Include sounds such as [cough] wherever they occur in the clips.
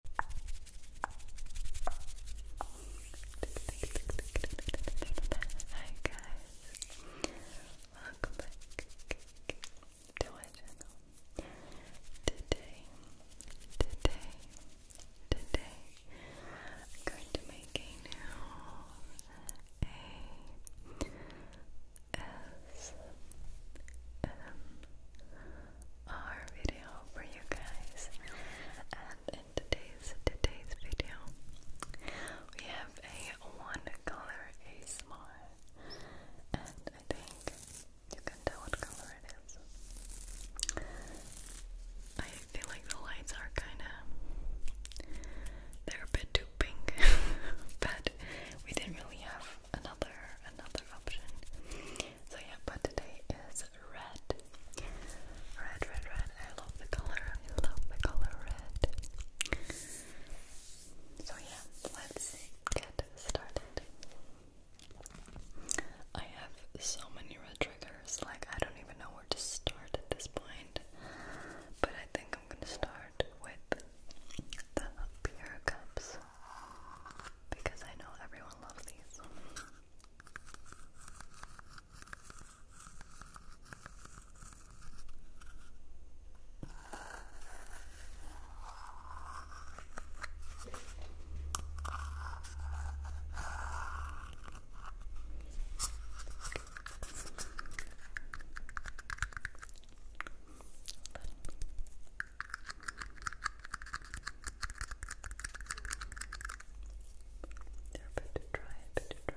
Hi guys, welcome to my channel. Today, today, today, I'm going to make a new A S M R our video for you guys. And in today's today's video, we have a one color ASMR, and I think you can tell what color it is. I feel like the lights are kind of they're a bit too pink, [laughs] but we didn't really have another another option. So yeah, but today is red. Red, red, red. I love the color. I love the color red. So yeah, let's get started. I have so many red triggers, like I don't even know where to start at this point. But I think I'm gonna start with the beer cups because I know everyone loves these. They're a bit dry, a bit dry. Good.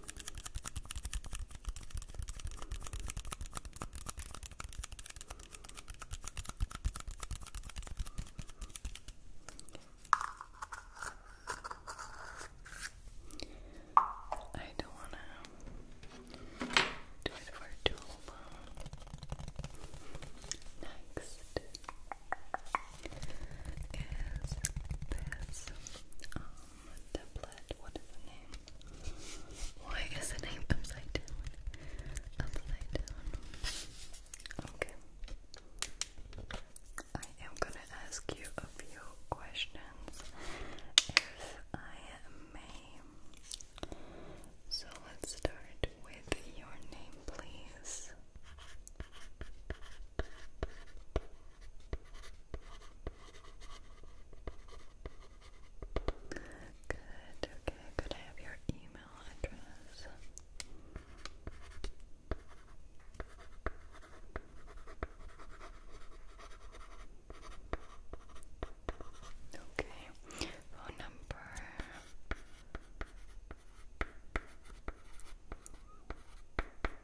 I don't want to do it for too long. Next is this tablet. What is the name? Why is the name upside down? Upside down. Okay. I am gonna ask you a few questions, if I may. So let's start with your name, please. Good, okay, could I have your email address? Okay, phone number.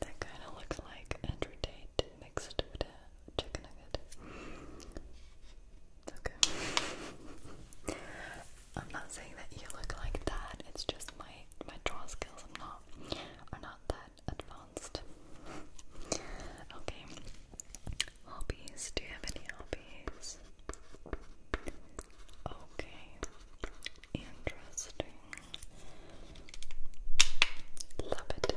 That kind of looks like Andrew mixed with chicken nugget. Okay. I'm not saying that you look like that. It's just my my draw skills. i not are not that advanced. Okay. Hobbies. Do you have any hobbies? Okay. Interesting. Love it. I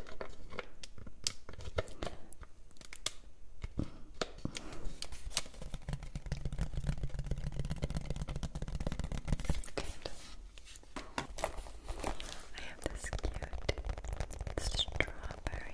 have this cute strawberry strawberry bag.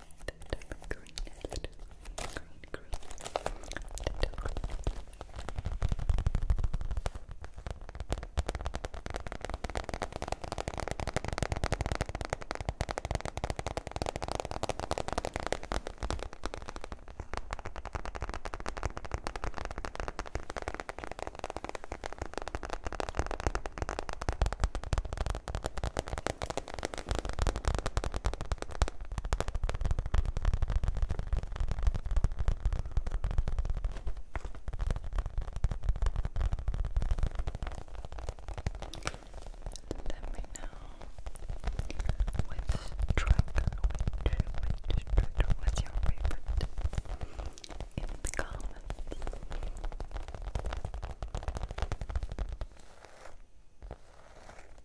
the type of green green, green let me know which truck, which, which truck was your favorite in the comments.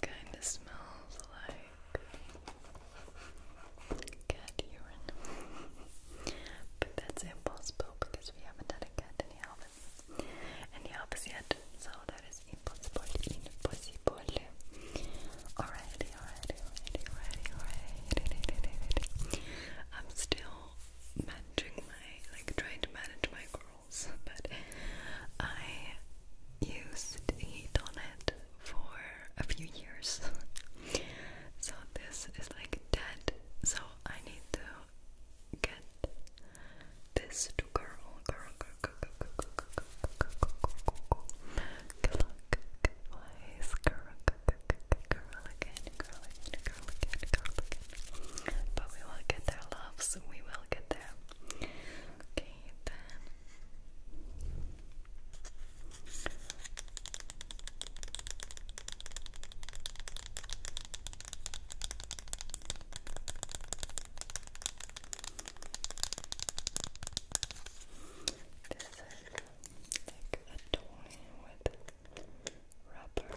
Kind of smells like cat urine, but that's impossible because we haven't had a cat in the office, and the office yet. Saludar es impossible, impossible. Alrighty, alrighty, alrighty, alrighty, alrighty. I'm still managing my, like, trying to manage my curls, but I used heat on it for a few years, so this is like dead. So I need to get this to girl, girl, girl, girl, girl, girl, girl, girl, girl, girl, girl, girl, girl, girl again, girl again, girl again, girl again. But we will get there, loves. We will get there. Okay, then. Okay, this is like a toy with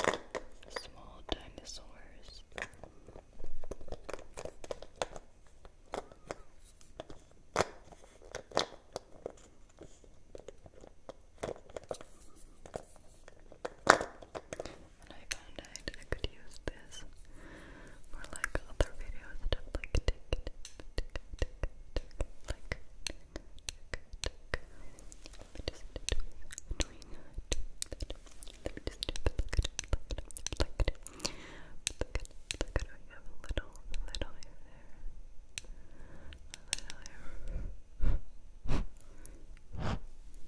rubber, small dinosaurs and I found out I could use this for like other video stuff like tick tick tick tick tick like tick tick let me just do doing let me just do pluck it pluck it pluck it pluck it pluck it I have a little a little hair there a little hair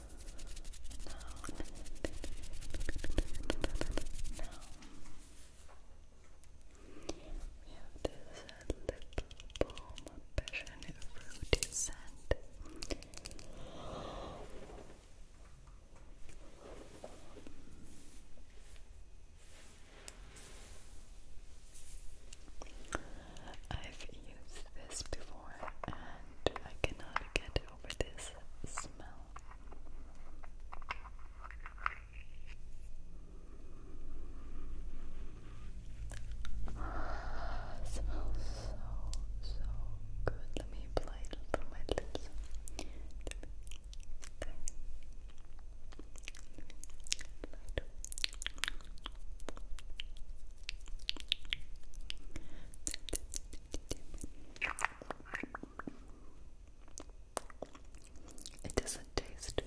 Now we have this uh, little balm passion fruity scent. I've used this before and I cannot get over this smell. It [sighs] smells so, so good. Let me apply it through my lips. It doesn't taste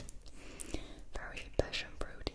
very passion fruity.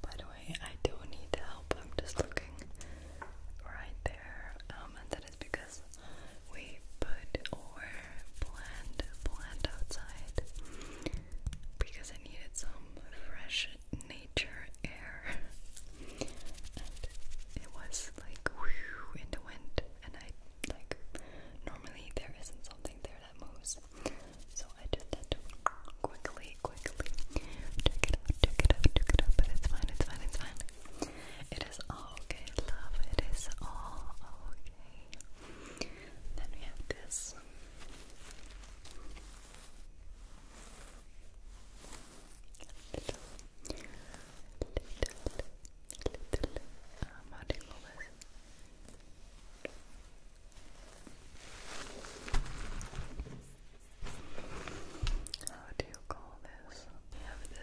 By the way, I do need help. I'm just looking right there, um, and that is because we put or blend blend outside because I needed some fresh nature air [laughs] and it was like whew, in the wind and I like normally there isn't something there that moves so I just had to quickly quickly check it out check it out check it out but it's fine it's fine it's fine it is all okay, love. It is all okay. Then we have this. Little, little, little, um, how do you call this? How do you call this. We It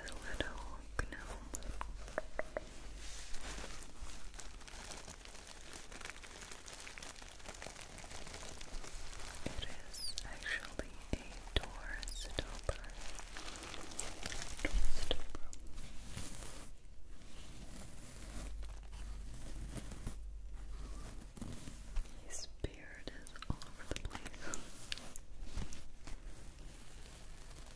is actually a Taurus stopper. His beard is all over the place.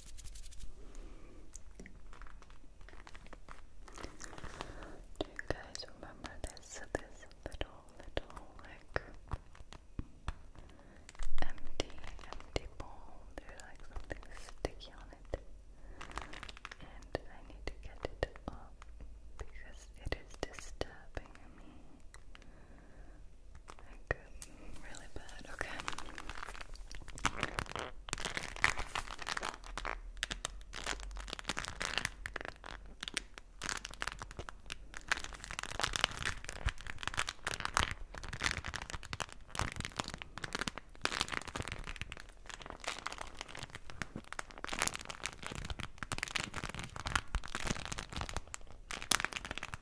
Do you guys remember this this little little like empty empty bowl? There's like something sticky on it. And I need to get it off because it is disturbing me like really bad. Okay.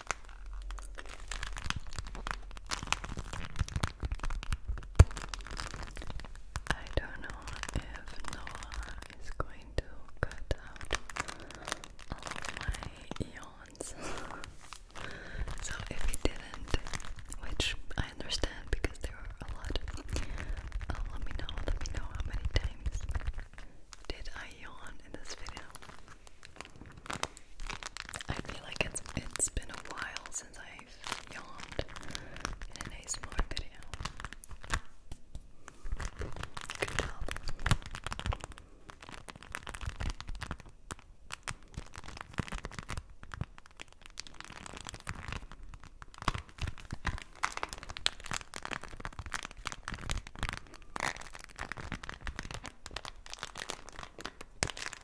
I don't know if Noah is going to cut out all my yawns. [laughs] so if he didn't, which I understand because there are a lot, uh, let me know, let me know how many times did I yawn in this video. I feel like it's it's been a while since I've yawned in an small video. Good job.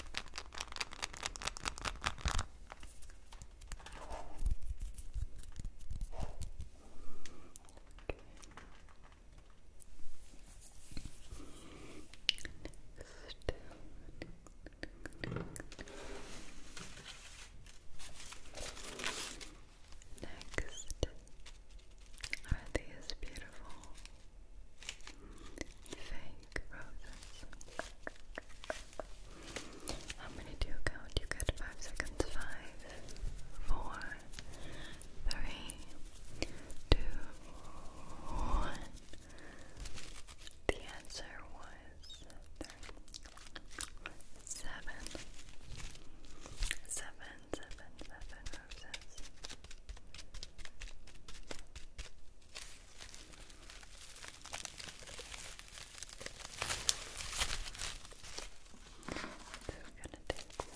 Next are these beautiful Fake roses. How many do you count? You get five seconds. Five, four, three, two, one. The answer was seven. Seven, seven, seven roses. So we're gonna take one.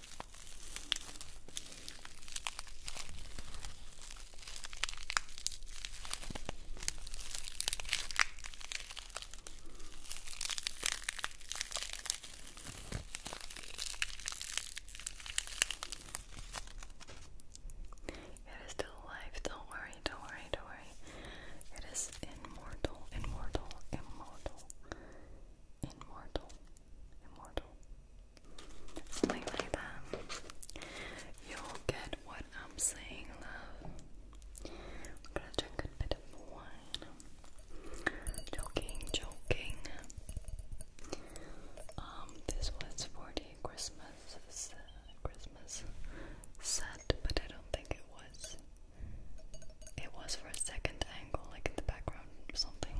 It is still alive, don't worry, don't worry, don't worry. It is immortal, immortal, immortal, immortal. Something like that. You'll get what I'm saying, love. i to drink a bit of wine. Joking, joking. Um, this was 40 Christmas uh, Christmas set, but I don't think it was it was for a second angle, like in the background or something.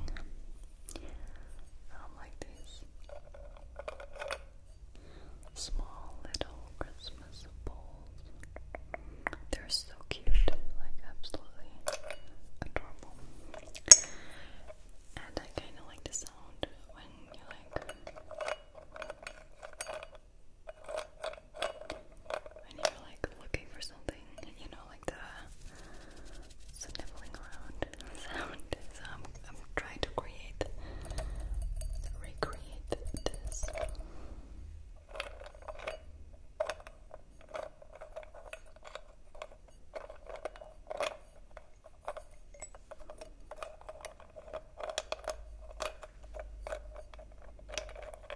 Um, like this small little Christmas balls. They're so cute, like absolutely adorable. And I kind of like the sound when you like when you're like looking for something, you know, like the sniffling around [laughs] sound. So I'm, trying to create, recreate this.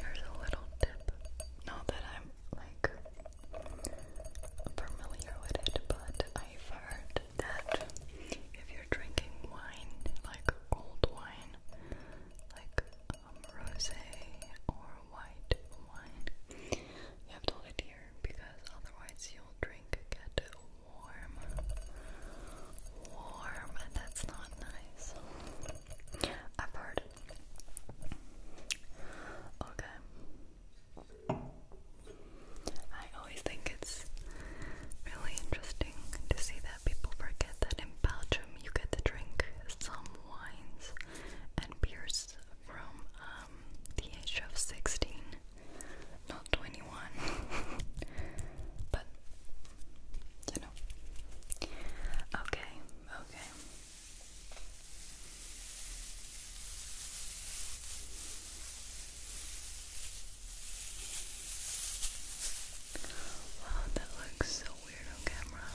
Here's a little tip. Not that I'm like familiar with it, but I've heard that if you're drinking wine, like cold wine, like um, rosé or white wine, you have to hold here because otherwise you'll drink get warm, warm, and that's not nice. i Okay. I always think it's really interesting to see that people forget that in Belgium you get to drink some wines and beers from um, the age of 16, not 21. [laughs] but, you know. Okay, okay. Wow, that looks so weird on camera.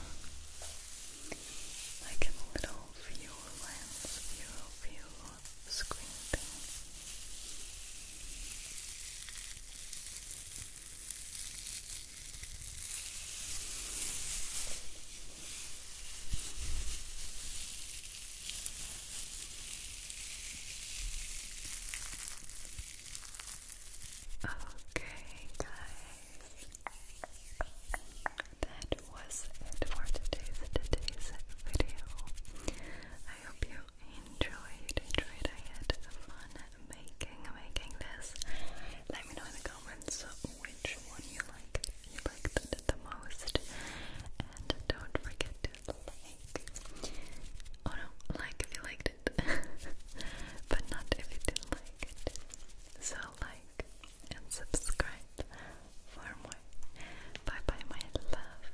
Like a little view lens, view, view screen thing. Okay, guys, that was it for today's today's video. I hope you enjoyed. Enjoyed. I had fun making making this. Let me know in the comments which one you like you liked it the most. And don't forget to like. Oh no, like if you liked it. [laughs] but not if you didn't like it. So like and subscribe for more. Bye bye my love.